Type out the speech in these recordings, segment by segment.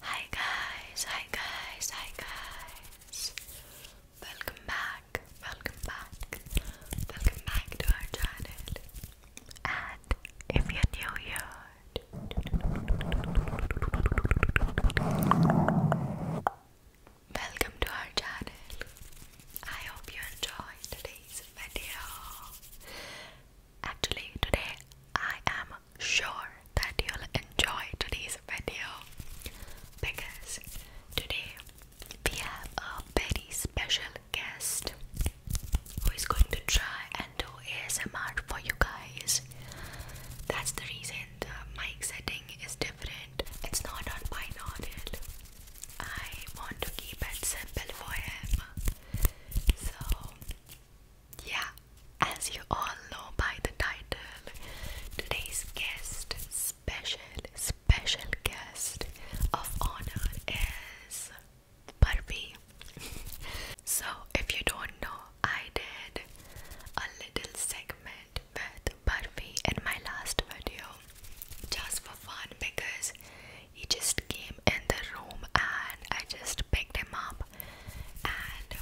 Hi guys, hi guys, hi guys. Welcome back, welcome back, welcome back to our channel. And if you're new here, welcome to our channel. I hope you enjoyed today's video. Actually, today I am sure that you'll enjoy today's video because today we have a very special guest who is going to try and do ASMR for you guys. That's the reason the mic setting is different. It's not on binaural. I want to keep it simple for him. So yeah, as you all know by the title, today's guest, special, special guest of honor is Barbie. so, if you don't know, I did a little segment with Barbie in my last video just for fun because he just came in the room and I just picked him up and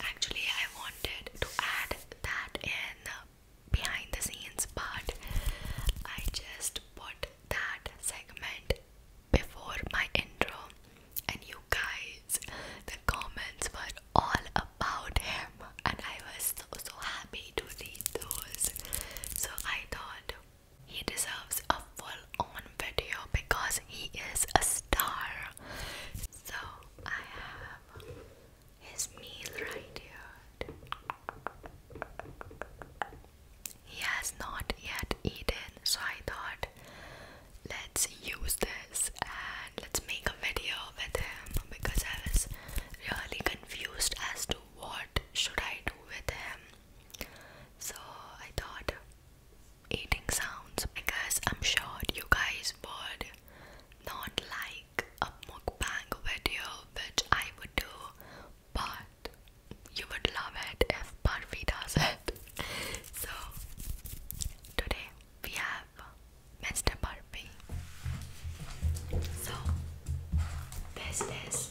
actually I wanted to add that in behind the scenes but I just put that segment before my intro and you guys the comments were all about him and I was so so happy to read those so I thought he deserves a full on video because he is a star. So I have his meal right here. He has not yet eaten, so I thought let's use this and let's make a video with him because I was really confused as to what should I do with him so I thought eating sounds because I'm sure you guys would not like a mukbang video which I would do but you would love it if Barbie does it. so today we have Mr. Barbie. So this is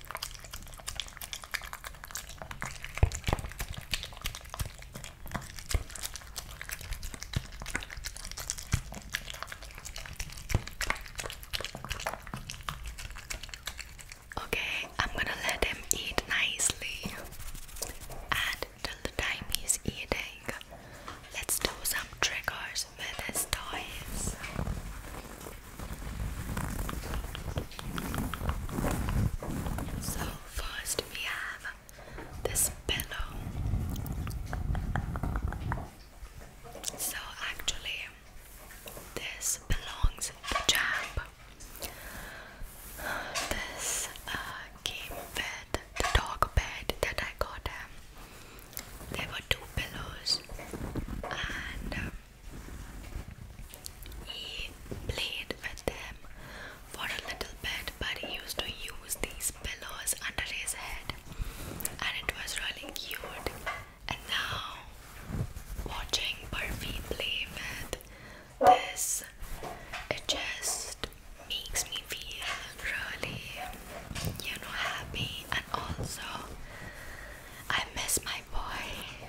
Okay, I'm gonna let him eat nicely. And till the time he's eating, let's do some tricks with his toys. So first we have this pillow. So actually this belongs to Jab. This game uh, bed, the dog bed that I got him. Um, there were two pillows and um, he played with them for a little bit, but he used to use these pillows under his head, and it was really cute. And now, watching Barfi play with this, it just makes me feel really, you know, happy. And also, I miss my boy.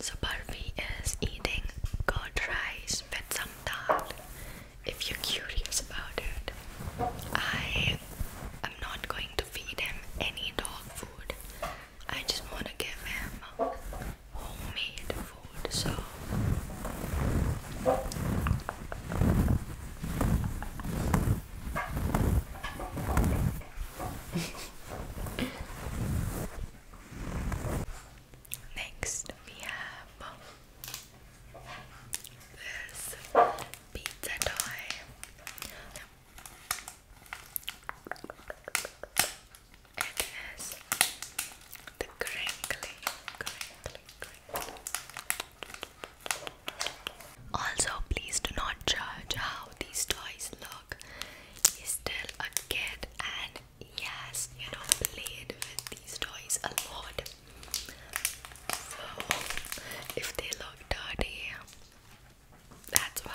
So Barfi is eating curd rice with some dal. If you're curious about it, I am not going to feed him any dog food. I just want to give him homemade food. So. Next, we have this pizza toy. It is the crinkly, crinkly, crinkly. Also, please do not judge how these toys look. He's still a kid, and yes, has, you know, played with these toys a lot. if they look dirty, that's why.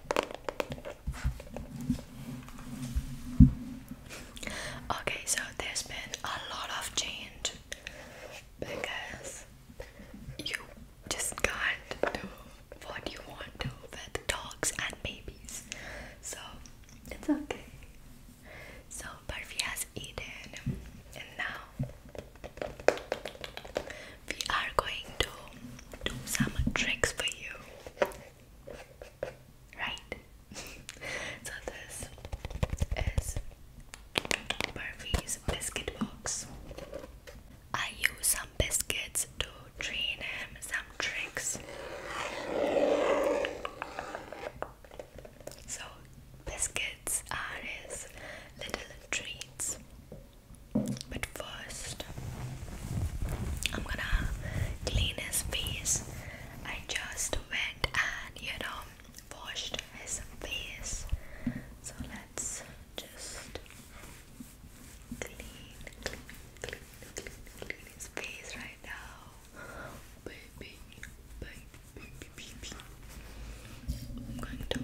Okay, so there's been a lot of change because you just can't do what you want to with dogs and babies, so it's okay. So, Barfi has eaten, and now we are going to do some tricks for you. Right? so, this is Murphy's biscuit box. I use some biscuits to train him some tricks. So, biscuits are his little treats. But first, I'm gonna clean his face. I just went and you know washed his face. So let's just clean, clean, clean, clean, clean his face right now, baby, baby, baby, baby. I'm going to.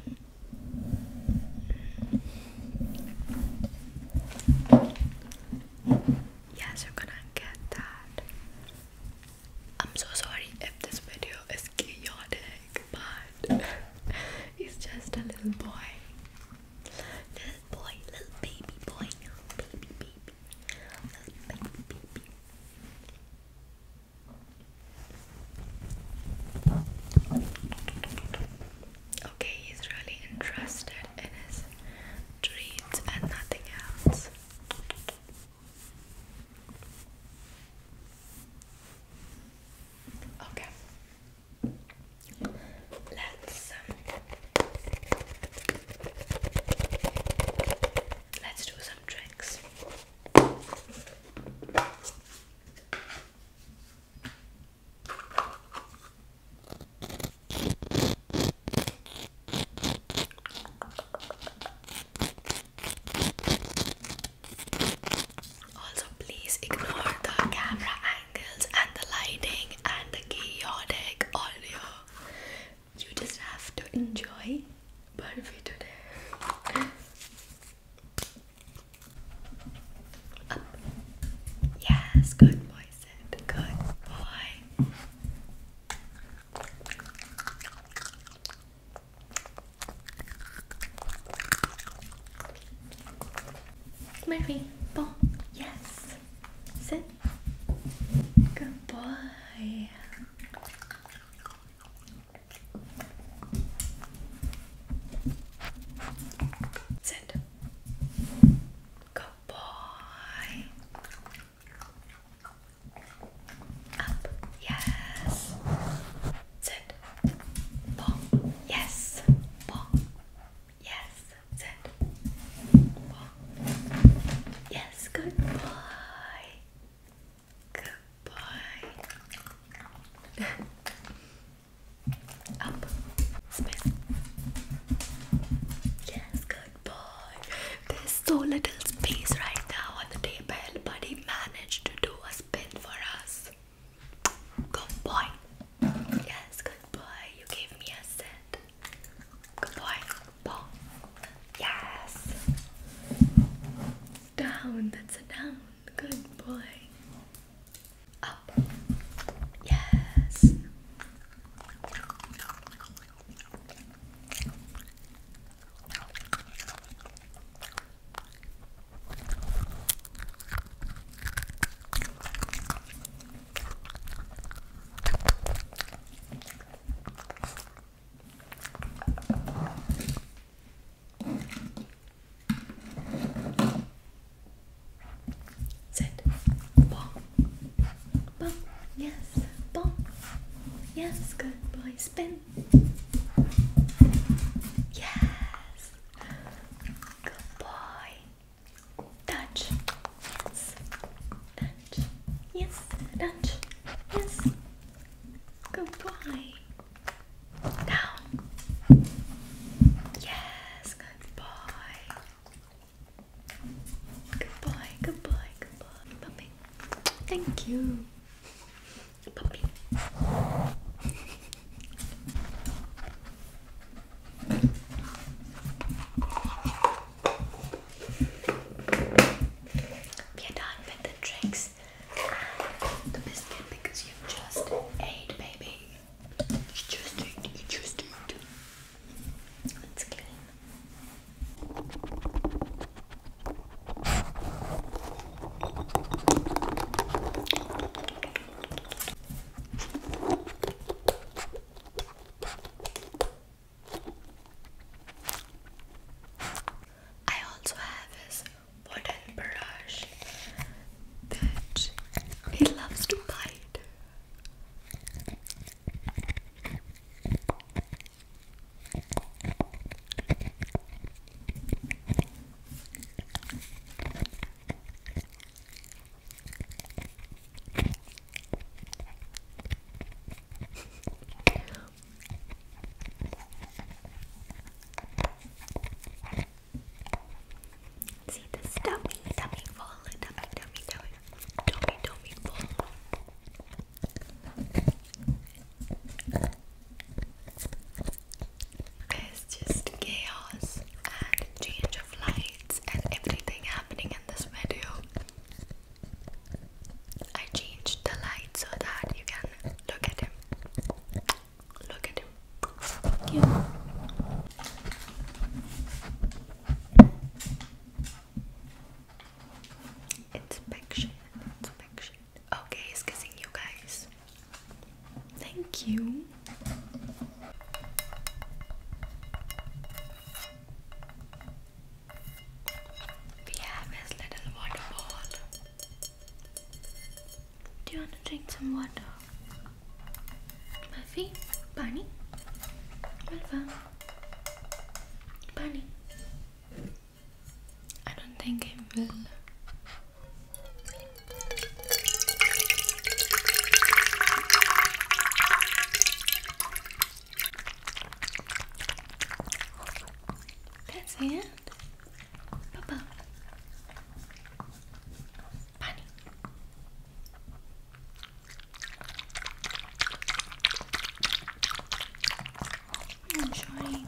Yes, you're gonna get that. I'm so sorry if this video is chaotic, but he's just a little boy. Little boy, little baby boy, baby baby, little baby baby. Okay, he's really interested in his treats and nothing else. Okay. Let's um, let's do some tricks. Also, please ignore the camera angles and the lighting and the chaotic audio. You just have to enjoy Barbie today. Up. Yes, good boy, Sid. Good boy. Murphy, ball. Yes. Sit. Good boy. Sit. Good boy. Up. Yes. Sit. Ball. Yes. Ball. Yes. Sit. Ball. Yes. Good boy. Good boy. Up. Spin. Yes, good boy. There's so little space right now on the table, but he managed to do a spin for us. Good boy. Yes, good boy. You gave me a set. Good boy. Ball. Yes. Down. That's a down. Good boy. Up. Yes. Sit. Ball. Ball. Yes. Ball. Yes. Good boy. Spin. Yes. Good boy. Touch. Yes. Touch. Yes. Touch. Yes. Good boy. Down. Yes, good boy. Good boy, good boy, good boy. Puppy. Thank you. Puppy. We are done with the tricks the biscuit because you just ate, baby. You just ate, just ate. clean. I also have his wooden brush that he loves to bite. See this dummy, dummy full, dummy, dummy, dummy, dummy, dummy full. It's just chaos and change of lights and everything happening in this video. I changed the light so that you can look at him. Look at him. Cute. Inspection. Inspection. Okay, he's kissing you guys. Thank you. We have this little waterfall. Do you want to drink some water? Buffy? Bunny? Malva? Bunny? I don't think it will. That's it. Papa. Bunny. I'm enjoying.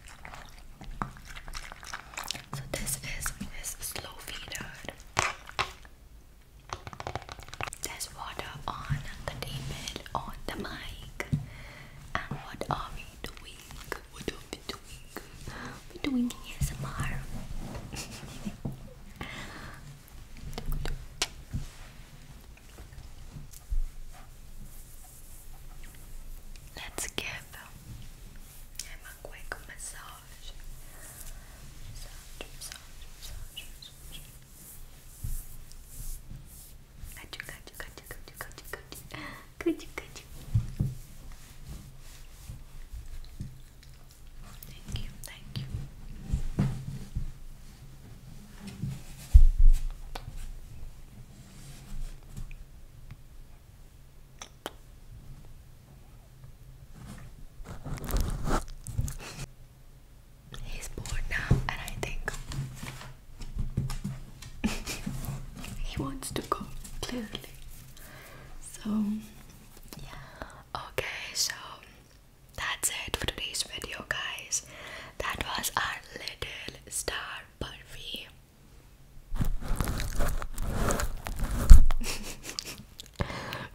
So this is this slow feeder. There's water on the table, on the mic. And what are we doing? What are we doing? We're doing ASMR. Let's give him a quick massage. Massage, massage, massage, massage. Got you, got you, got you, got you, got you, got you. Got you, got you. Thank you, thank you. Good. He's bored now, and I think he wants to go clearly. So, okay, so that's it for today's video, guys. That was our little star Burfi we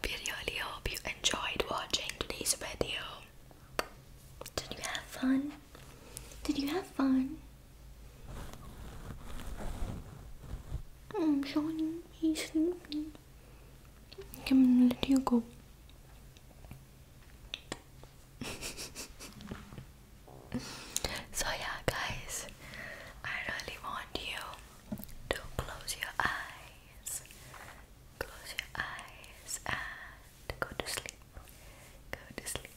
really hope you enjoyed watching today's video. Did you have fun? Did you have fun? I'm mm, Johnny, he's sleeping. I'm going let you go. so, yeah, guys, I really want you to close your eyes, close your eyes, and go to sleep. Go to sleep,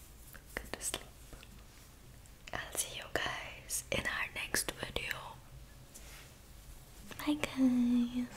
go to sleep. I'll see you guys in our next video. Bye, guys.